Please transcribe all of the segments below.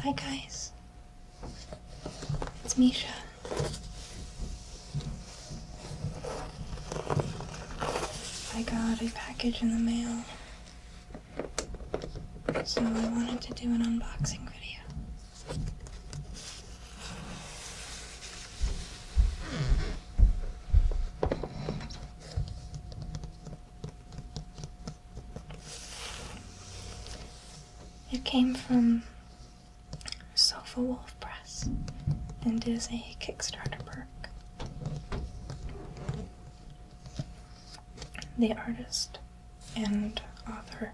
Hi, guys. It's Misha. I got a package in the mail. So I wanted to do an unboxing video. It came from Sofa Wolf Press and is a Kickstarter perk. The artist and author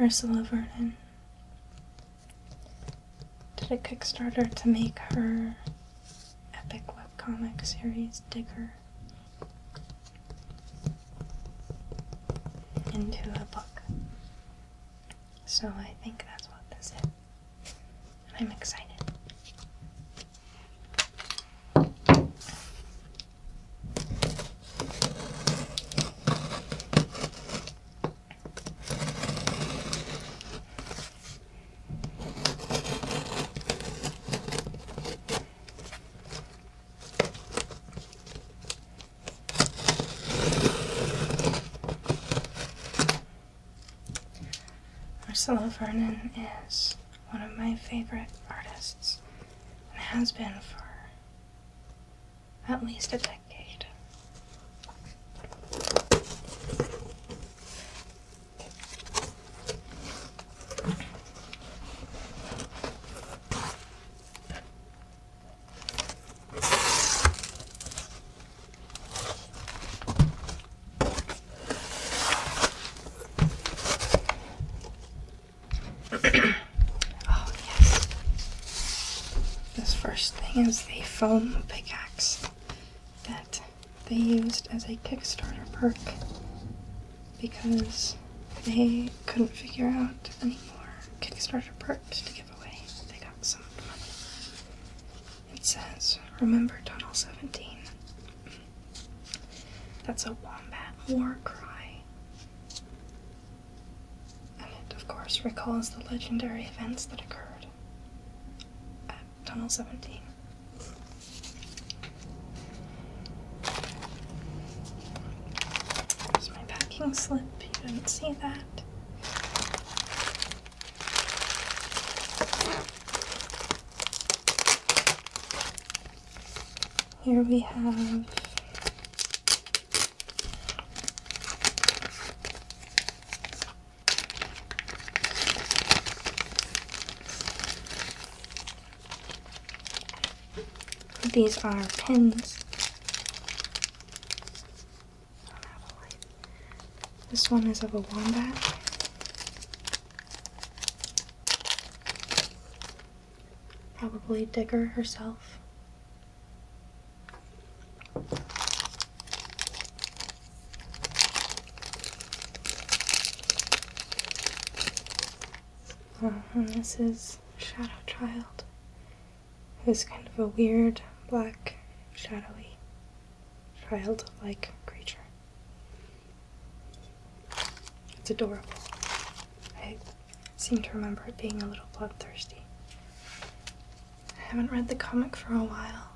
Ursula Vernon did a Kickstarter to make her Marvel's epic webcomic series Digger into a book. So I think that's what this is. I'm excited. Marcello Vernon is one of my favorite artists and has been for at least a decade oh, yes. This first thing is the foam pickaxe that they used as a Kickstarter perk because they couldn't figure out any more Kickstarter perks to give away. They got some money. It says, Remember Tunnel 17. That's a wombat war cry. And it, of course, recalls the legendary events that occurred tunnel 17. There's my packing slip, you didn't see that. Here we have these are pins. This one is of a wombat. Probably Digger herself. Uh-huh, this is Shadow Child, who's kind of a weird, black, shadowy, child-like creature. It's adorable. I seem to remember it being a little bloodthirsty. I haven't read the comic for a while,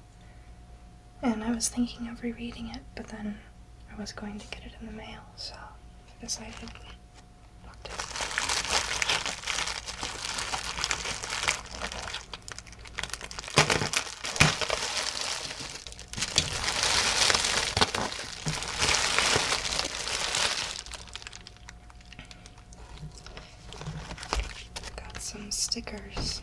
and I was thinking of rereading it, but then I was going to get it in the mail, so I decided not to. Got some stickers.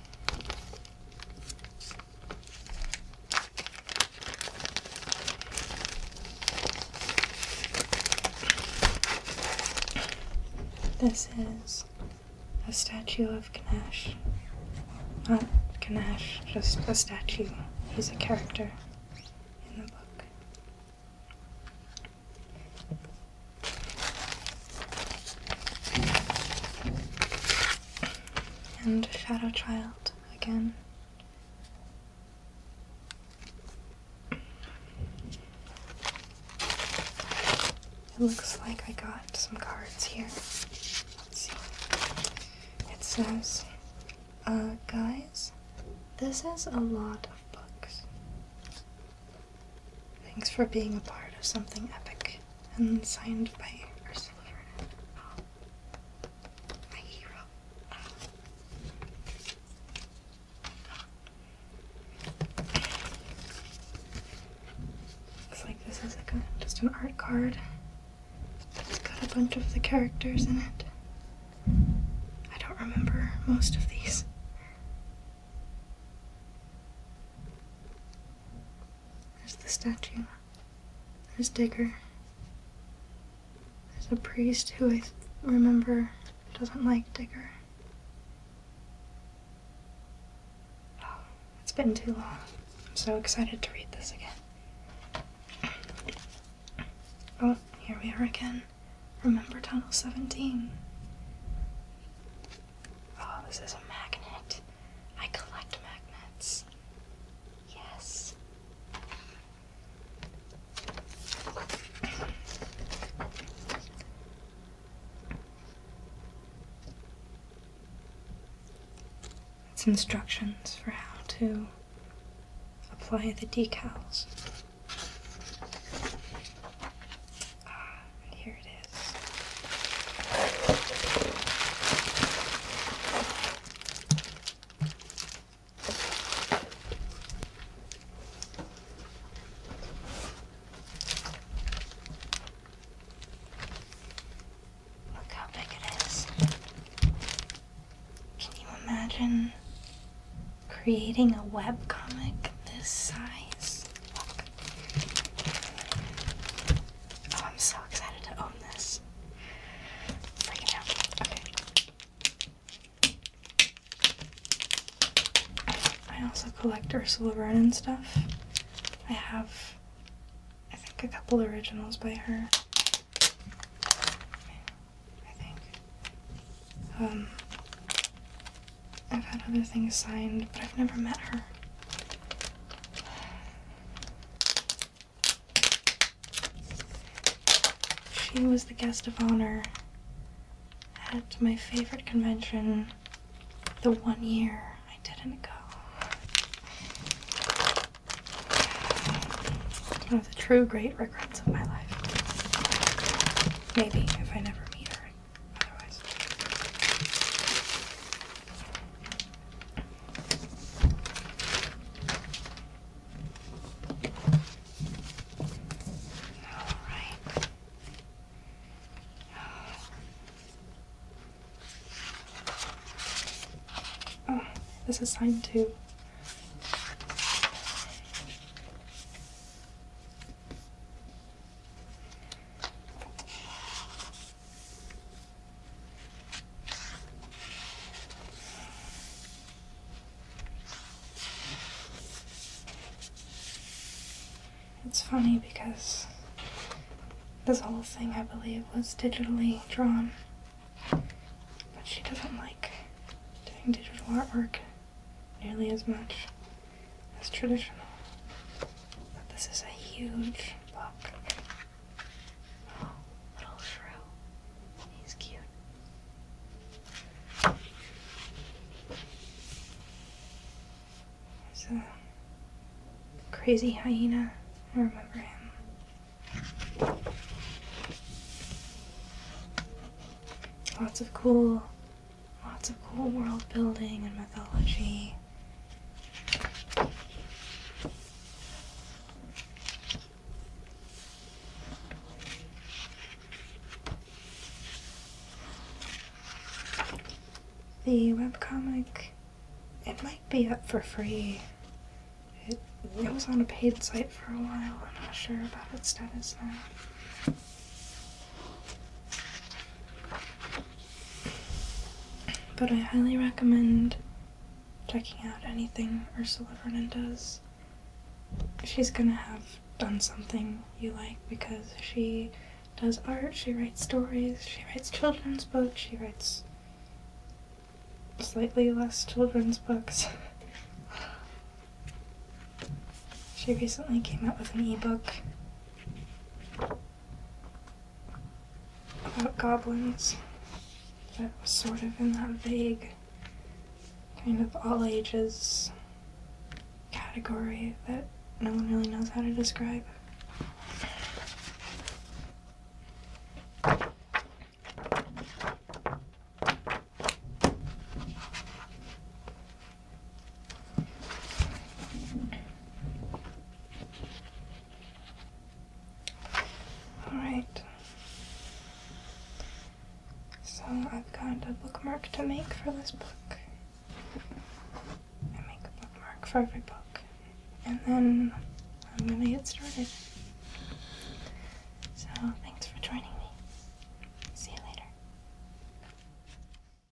This is a statue of Ganesh. Not Ganesh, just a statue. He's a character in the book. And Shadow Child again. It looks like I got some cards here. Let's see. It says, uh, guys, this is a lot of books. Thanks for being a part of something epic. And signed by Ursula Vernon. my hero. Looks like this is just an art card, it's got a bunch of the characters in it. I don't remember most of these. There's the statue. There's Digger. There's a priest who I remember doesn't like Digger. Oh, it's been too long. I'm so excited to read this again. Oh, here we are again. Remember Tunnel 17. Oh, this is a magnet. I collect magnets. Yes. It's instructions for how to apply the decals. Uh, here it is. Look how big it is. Can you imagine creating a webcomic this size? Oh, I'm so excited to own this. Freaking out. Okay. I also collect Ursula Vernon stuff. I have, I think, a couple originals by her. I think. Um, I've had other things signed, but I've never met her. She was the guest of honor at my favorite convention the one year I didn't go. One of the true great regrets of my life. Maybe if I never meet her all right. Oh, this is signed too. It's funny because this whole thing, I believe, was digitally drawn, but she doesn't like doing digital artwork nearly as much. That's traditional. But this is a huge book. Oh, little shrew. He's cute. There's crazy hyena. I remember him. Lots of cool Lots of cool world building and mythology. The webcomic, it might be up for free. It, it was on a paid site for a while. I'm not sure about its status now. But I highly recommend checking out anything Ursula Vernon does. She's gonna have done something you like because she does art, she writes stories, she writes children's books, she writes slightly less children's books. she recently came out with an ebook about goblins. That was sort of in that vague, kind of all ages category that no one really knows how to describe. Alright. So I've got a bookmark to make for this book. I make a bookmark for every book. And then I'm gonna get started. So thanks for joining me. See you later.